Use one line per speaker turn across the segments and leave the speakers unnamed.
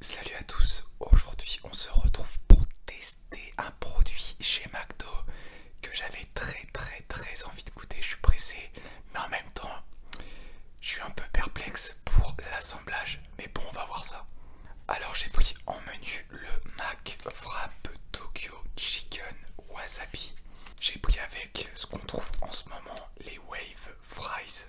Salut à tous, aujourd'hui on se retrouve pour tester un produit chez McDo que j'avais très très très envie de goûter, je suis pressé, mais en même temps je suis un peu perplexe pour l'assemblage, mais bon on va voir ça. Alors j'ai pris en menu le Mac Frappe Tokyo Chicken Wasabi. J'ai pris avec ce qu'on trouve en ce moment, les Wave Fries.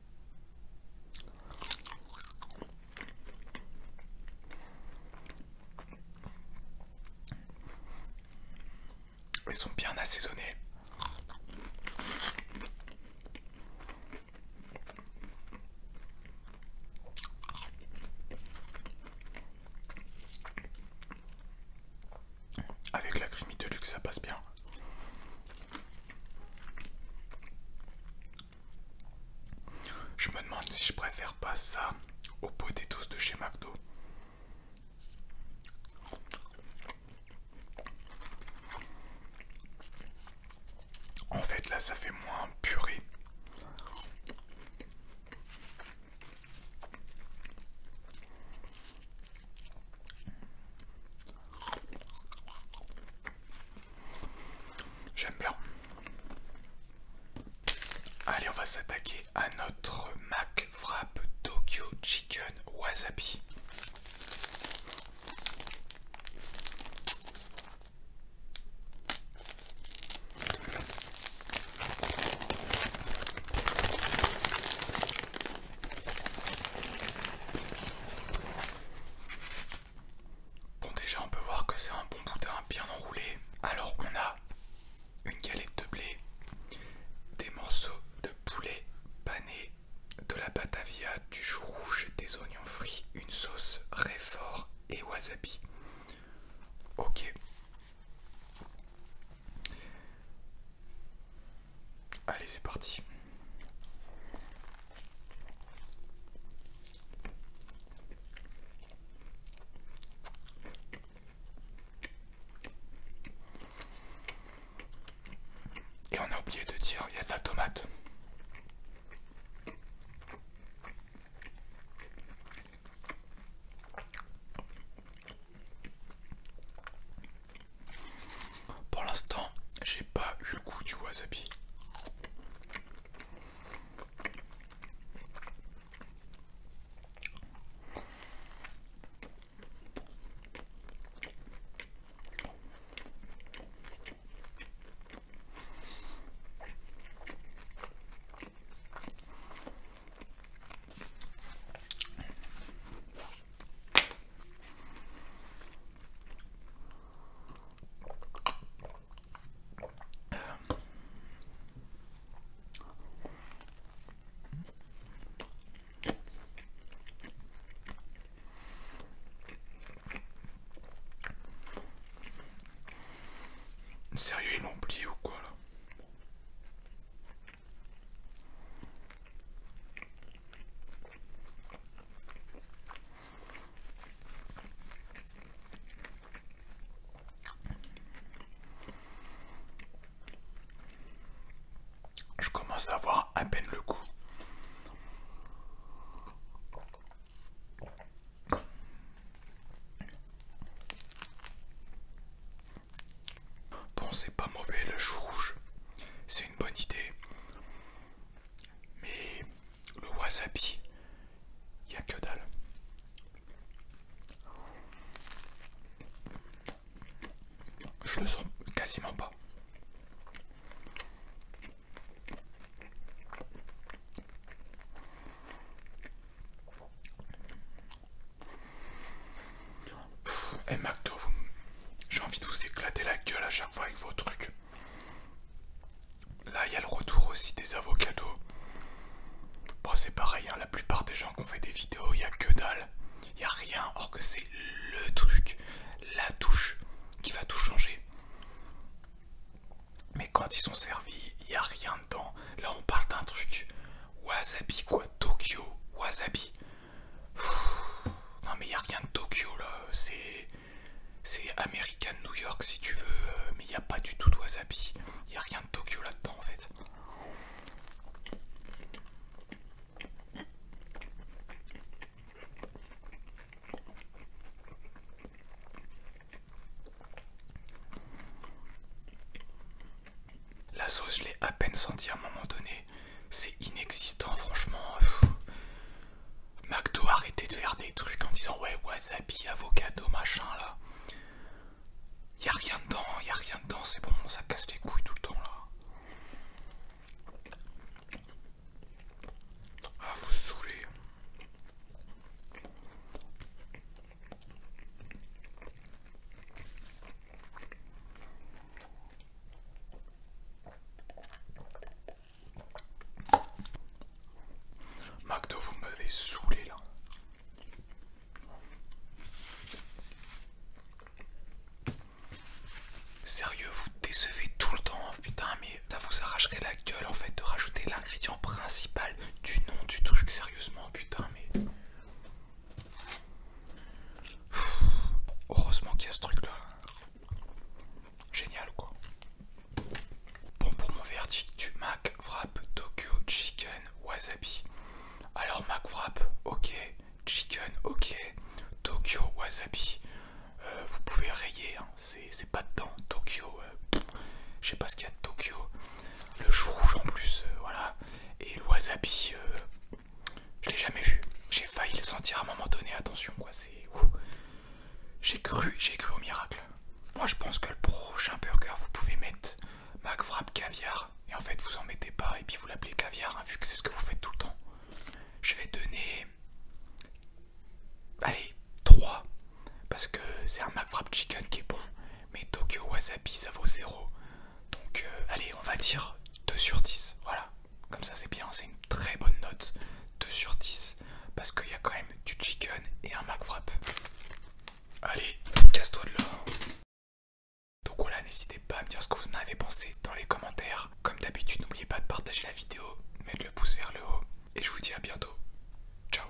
Elles sont bien assaisonnés. Avec la crème de luxe, ça passe bien. Je me demande si je préfère pas ça au tous de chez McDo. En fait, là, ça fait moins purée. J'aime bien. Allez, on va s'attaquer à notre Mac Frappe Tokyo Chicken Wasabi. Bon déjà on peut voir que c'est un bon boudin bien enroulé. Alors on a une galette de blé, des morceaux de poulet pané, de la batavia, du chou rouge, des oignons frits, une sauce réfort et wasabi. Ok. Allez, c'est parti. Et on a oublié de dire, il y a de la tomate. Pour l'instant, j'ai pas eu le goût du wasabi. Sérieux, il l'ont plié ou quoi là je commence à avoir à peine le goût. Bon, c'est pas mauvais le chou rouge, c'est une bonne idée. Mais le wasabi, il a que dalle. Je le sens quasiment pas. Eh Macdo, j'ai envie de vous éclater la gueule à chaque fois avec vos trucs. Là, il y a le retour aussi des avocados. c'est pareil, hein, la plupart des gens qui ont fait des vidéos, il n'y a que dalle. Il n'y a rien, or que c'est le truc, la touche qui va tout changer. Mais quand ils sont servis, il n'y a rien dedans. Là, on parle d'un truc. Wasabi, quoi. Tokyo, wasabi. Non, mais il n'y a rien de Tokyo, là. C'est. C'est American New York, si tu veux. Euh, mais il n'y a pas du tout de wasabi. Il n'y a rien de Tokyo là-dedans, en fait. La sauce, je l'ai à peine sentie à un moment donné. C'est inexistant, franchement. McDo, arrêtait de faire des trucs en disant ouais, wasabi, avocado, machin là. Y'a rien dedans, a rien dedans, c'est bon, ça casse les couilles tout le temps là. Ah, vous saoulez. McDo, vous m'avez saoulé là. Sérieux, vous décevez tout le temps, putain, mais ça vous arracherait la gueule en fait de rajouter l'ingrédient principal du nom du truc, sérieusement, putain, mais. heureusement qu'il y a ce truc là. Génial quoi. Bon, pour mon verdict du Mac Wrap Tokyo Chicken Wasabi. Alors, Mac Wrap, ok chicken, ok. Tokyo wasabi, euh, vous pouvez rayer, hein. c'est pas dedans. Tokyo, euh, je sais pas ce qu'il y a de Tokyo. Le chou rouge en plus, euh, voilà. Et le wasabi, je l'ai jamais vu. J'ai failli le sentir à un moment donné, attention quoi, c'est. J'ai cru, j'ai cru au miracle. Moi je pense que le prochain burger, vous pouvez mettre Mac Frappe Caviar et en fait, vous en mettez pas et puis vous l'appelez caviar, hein, vu que c'est ce que vous faites tout le temps. Je vais donner. Allez, 3. Parce que c'est un McFrap Chicken qui est bon, mais Tokyo Wasabi ça vaut 0. Donc, euh, allez, on va dire 2 sur 10. Voilà, comme ça c'est bien, c'est une très bonne note. 2 sur 10. Parce qu'il y a quand même du chicken et un McFrap. Allez, casse-toi de là. Donc voilà, n'hésitez pas à me dire ce que vous en avez pensé dans les commentaires. Comme d'habitude, n'oubliez pas de partager la vidéo, mettre le pouce vers le haut, et je vous dis à bientôt. Ciao